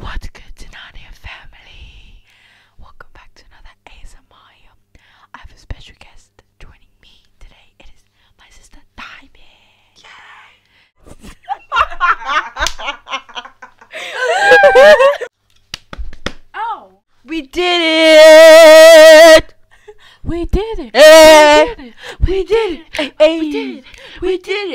What good Denania family? Welcome back to another ASMI. I have a special guest joining me today. It is my sister Diamond. Yay! oh! We did it! We did it! Eh. We did it! We eh, eh. did it. We did it.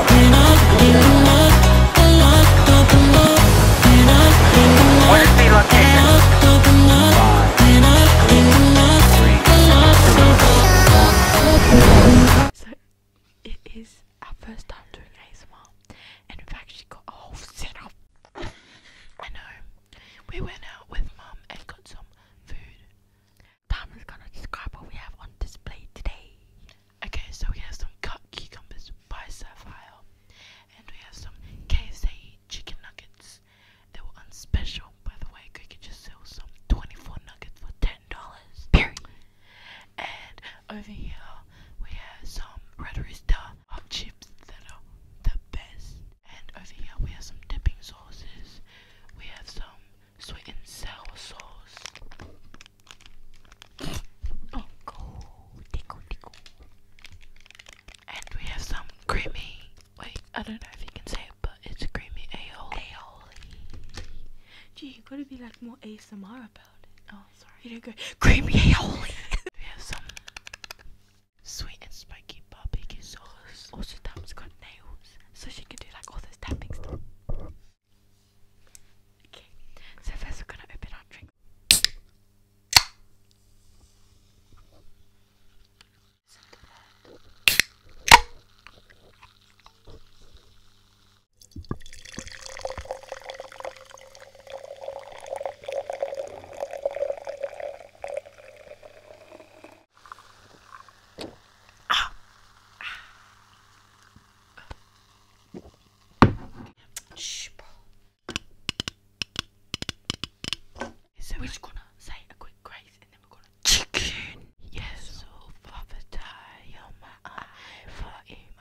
So it is our first time doing ASMR and we've got a whole setup. I know. We went out with mum and got some food. Tam is gonna describe what we have on display today. Okay, so we have some cut cucumbers by Sapphire, and we have some KFC chicken nuggets. They were on special, by the way. Cricket just sells some 24 nuggets for $10. and over here, we have some Red Rooster hot chips that are the best. And over here, we have some dipping sauces. We have some sweet and sour sauce. Tickle, oh, tickle, tickle. And we have some creamy, wait, I don't know if you can say it, but it's creamy aioli. Aioli. Gee, you have gotta be like more ASMR about it. Oh, sorry. You don't go, creamy aioli. we have some sweet and spiky barbecue sauce. Also, Tam's got nails, so she can do like all those tapping Okay, so first we're gonna open our drink. Ah. Shh, So we're gonna say a quick grace and then we're gonna Yes, so father die on for in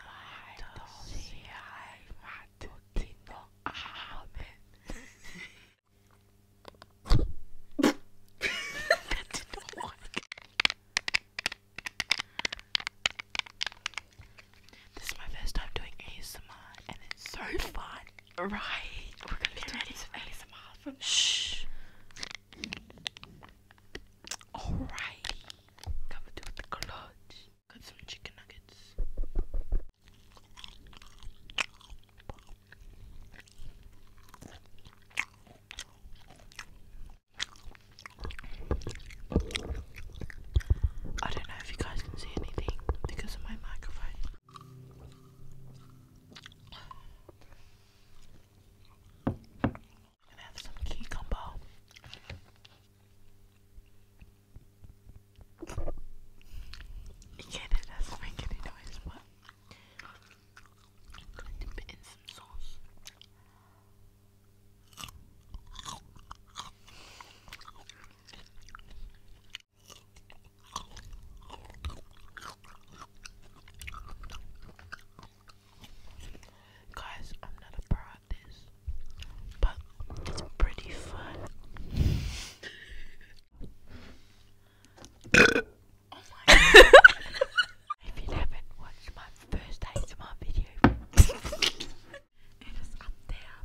amen. This is my first time doing ASMR and it's so fun. Right, we're gonna be doing some ASMR from Shh. Alrighty, come do the clutch. Got some chicken nuggets. I don't know if you guys can see anything because of my microphone. gonna have some cucumber. Again, it doesn't make any noise, but going to put in some sauce. Guys, I'm not a pro this, but it's pretty fun. oh my if you haven't watched my first ASMR video, it is up there.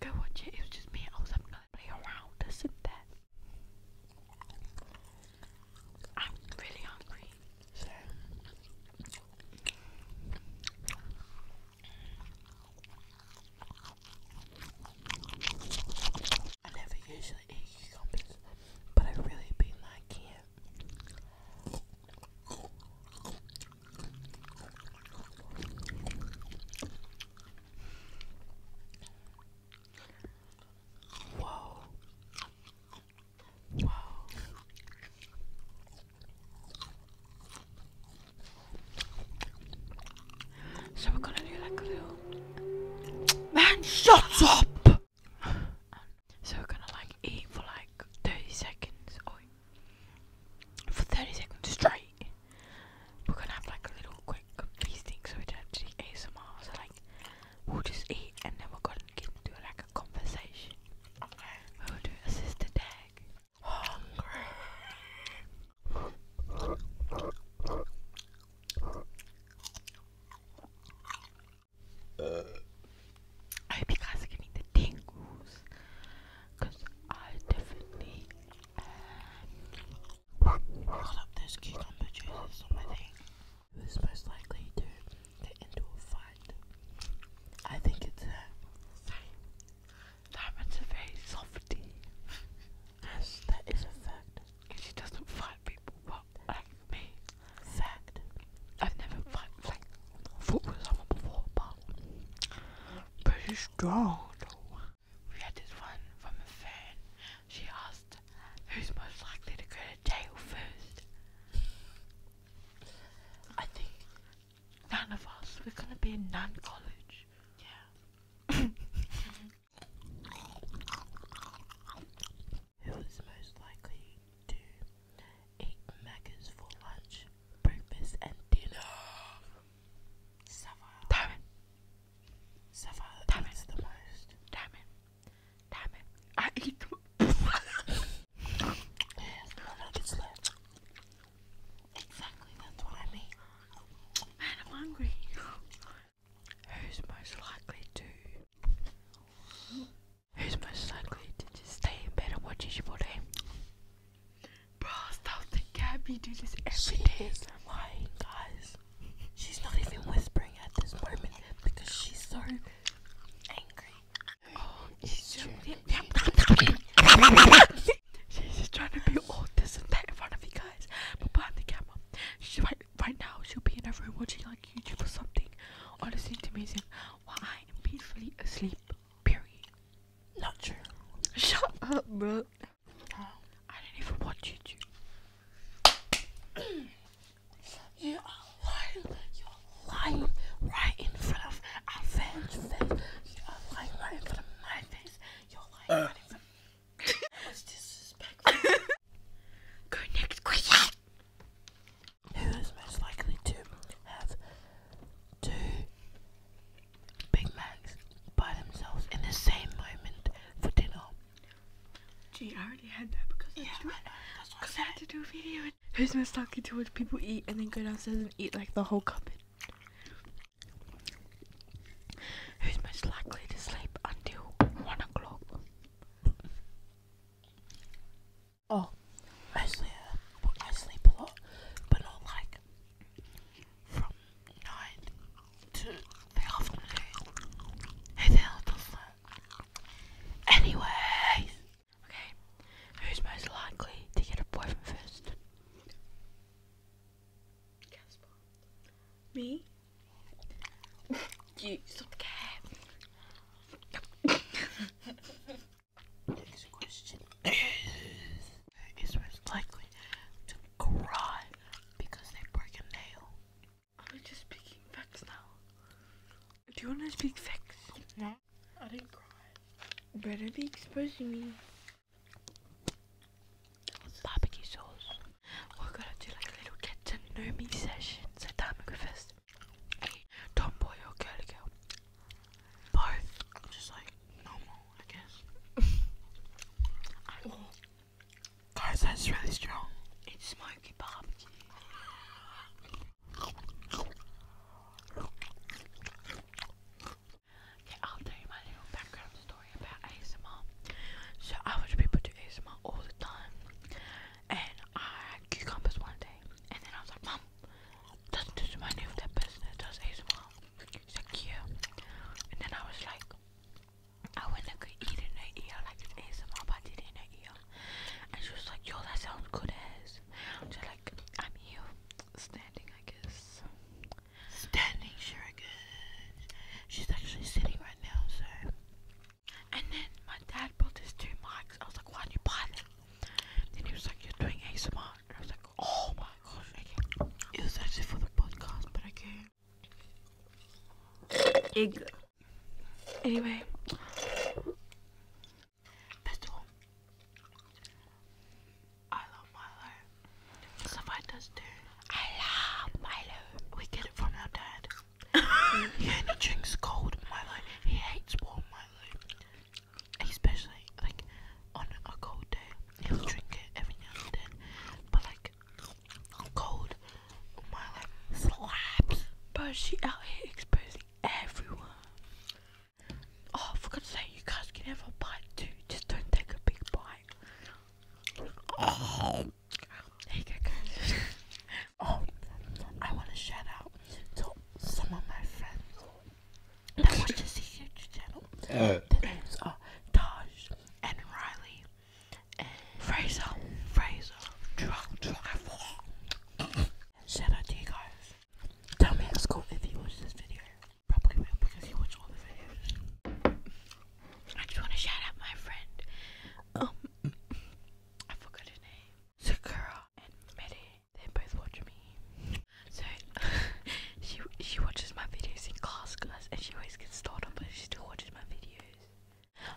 Go watch it. It was just me. I was up and play around. Isn't that? I'm really hungry. I never usually eat this, but i really been liking it. Whoa. Whoa. So we're gonna do that glue. Man, shut up! Um, so we're gonna like eat for like 30 seconds for 30 seconds straight we're gonna have like a little quick feasting so we don't have to do ASMR so like we'll just eat and then we're gonna get into like a conversation we'll do sister tag hungry I hope you guys are getting the tingles because I definitely um, up those cucumber juices on my thing. Who's most likely to get into a fight? I think it's her. Uh, Diamond's a very softy. yes, that is a fact. She doesn't fight people like me. Fact. I've never fought with before, but pretty strong We had this one from a fan. She asked who's most likely to go to jail first. I think none of us. We're gonna be in nun college. Yeah. who is most likely to eat Maccas for lunch, breakfast, and dinner. Savile. Damn it. Savile Damn the most. Damn it. I eat them. Exactly, that's what I Man, I'm hungry. Who's most likely to Who's most likely to just stay in bed and watch his body? Bro, stop the Gabby do this every she lying, guys. She's not even whispering at this moment because she's so angry. Oh, she's just She's just trying to be all this and that in front of you guys. But behind the camera, she's right right now she'll be in her room watching like YouTube or something or listening to music while I am peacefully asleep. Period. Not true. Shut up, bro. I don't even watch YouTube. you are lying. You are lying right in front of our face. You are lying right in front of my face. You're lying right in front Go next question. Who is most likely to have two Big Macs by themselves in the same moment for dinner? Gee, I already had that because yeah, I, That's what I, I had to do a video. who's most likely to watch people eat and then go downstairs and eat like the whole cupboard? Who's most likely to sleep until one o'clock? Oh, I I sleep a lot, but not like from nine to the afternoon. Who the hell does that? Anyway, okay. Who's most likely to get a boyfriend first? Casper. Me is Is likely to cry because they break a nail? I'm just speaking facts now. Do you wanna speak facts? No. I didn't cry. Better be exposing me barbecue sauce. We're gonna do like a little get to know me session. So Dan McGriffiths, a tomboy or girly girl? Both. Just like normal, I guess. Oh. Guys, that's really strong. It's smoky barbecue. Okay, I'll tell you my little background story about ASMR. So I watch people do ASMR all the time, and I had cucumbers one day, and then I was like, Mom, doesn't this remind you of that does ASMR? She's like, yeah. And then I was like, I went and could eat in ear, like ASMR, but did it in ear. And she was like, yo, that sounds good as. She's like, I'm here, standing, I guess. Standing, sure, I guess. She's actually sitting right now, so. And then my dad bought these two mics. I was like, why did you buy them? Then he was like, you're doing ASMR. And I was like, oh my gosh, okay. was actually for the podcast, but okay. Egg. Anyway. I love my life. Somebody does too. I love Milo. We get it from our dad. he only drinks cold Milo. He hates warm Milo. Especially like on a cold day. He'll drink it every now and then. But like cold Milo slaps. But she out here exposing everyone. Oh, forgot to say, you guys can have a bite too. Just don't take a big bite. Oh. oh, I want to shout out to some of my friends that was just a huge channel. Uh. The Their names are Taj and Riley and Fraser. Fraser. Drunk Driver. Shout out to you guys. Tell me at school if you watch this video. Probably will because you watch all the videos. I just want to shout out my friend. Um, I forgot her name. Sakura and Medi. They both watch me. So she she watches my videos in class, guys, and she always gets startled, but she still watches my videos.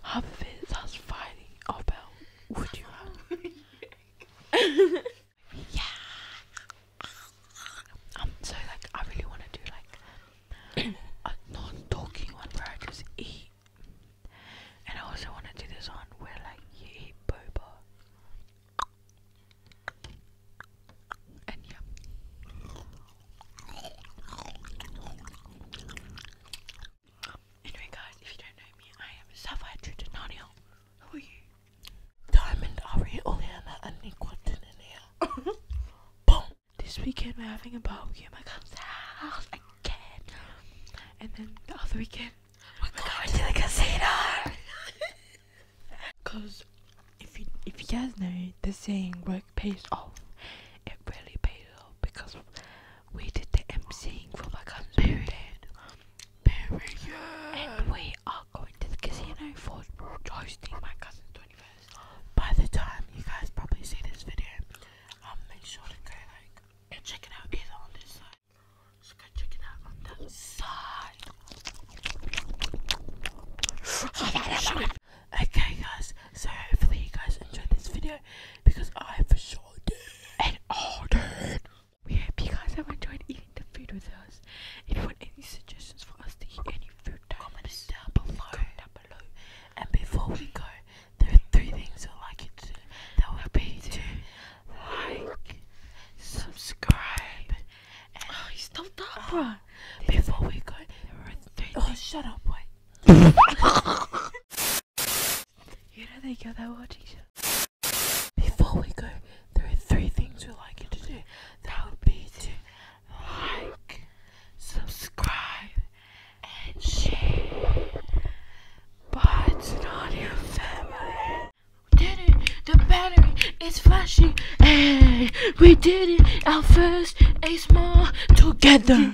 Half of it's us fighting about would you yeah. So like, I really want to do like a non-talking one where I just eat. And I also want to do this one where like you eat boba. And yeah. Anyway guys, if you don't know me, I am Sapphire Tritananiel. Who are you? Diamond Ari Oleana and Niquatin in here. Boom! this weekend we're having a barbecue at my cousin's house again. And then the other weekend we're, going, to the casino. Cause if you if you guys know the saying work pays off, it really pays off because we did the emceeing for my cousin's birthday. Period. And we are going to the casino for hosting my cousin's 21st. By the time you guys probably see this video, um, make sure to go like and check it out either on this side. So go check it out on that side. okay, guys. So hopefully you guys enjoyed this video because I for sure did. And all did. We hope you guys have enjoyed eating the food with us. If you want any suggestions for us to eat any any down below. down below. And before we go, there are three things we like you to do. That would be to like, subscribe, and oh, you stopped up, uh, bro. Before we go, there are three. Oh, shut up, boy. you know they go that watching. Before we go, there are three things we like you to do. That would be to like, subscribe, and share. But it's not your family. We did it! The battery is flashing! Hey, we did it! Our first Ace More together!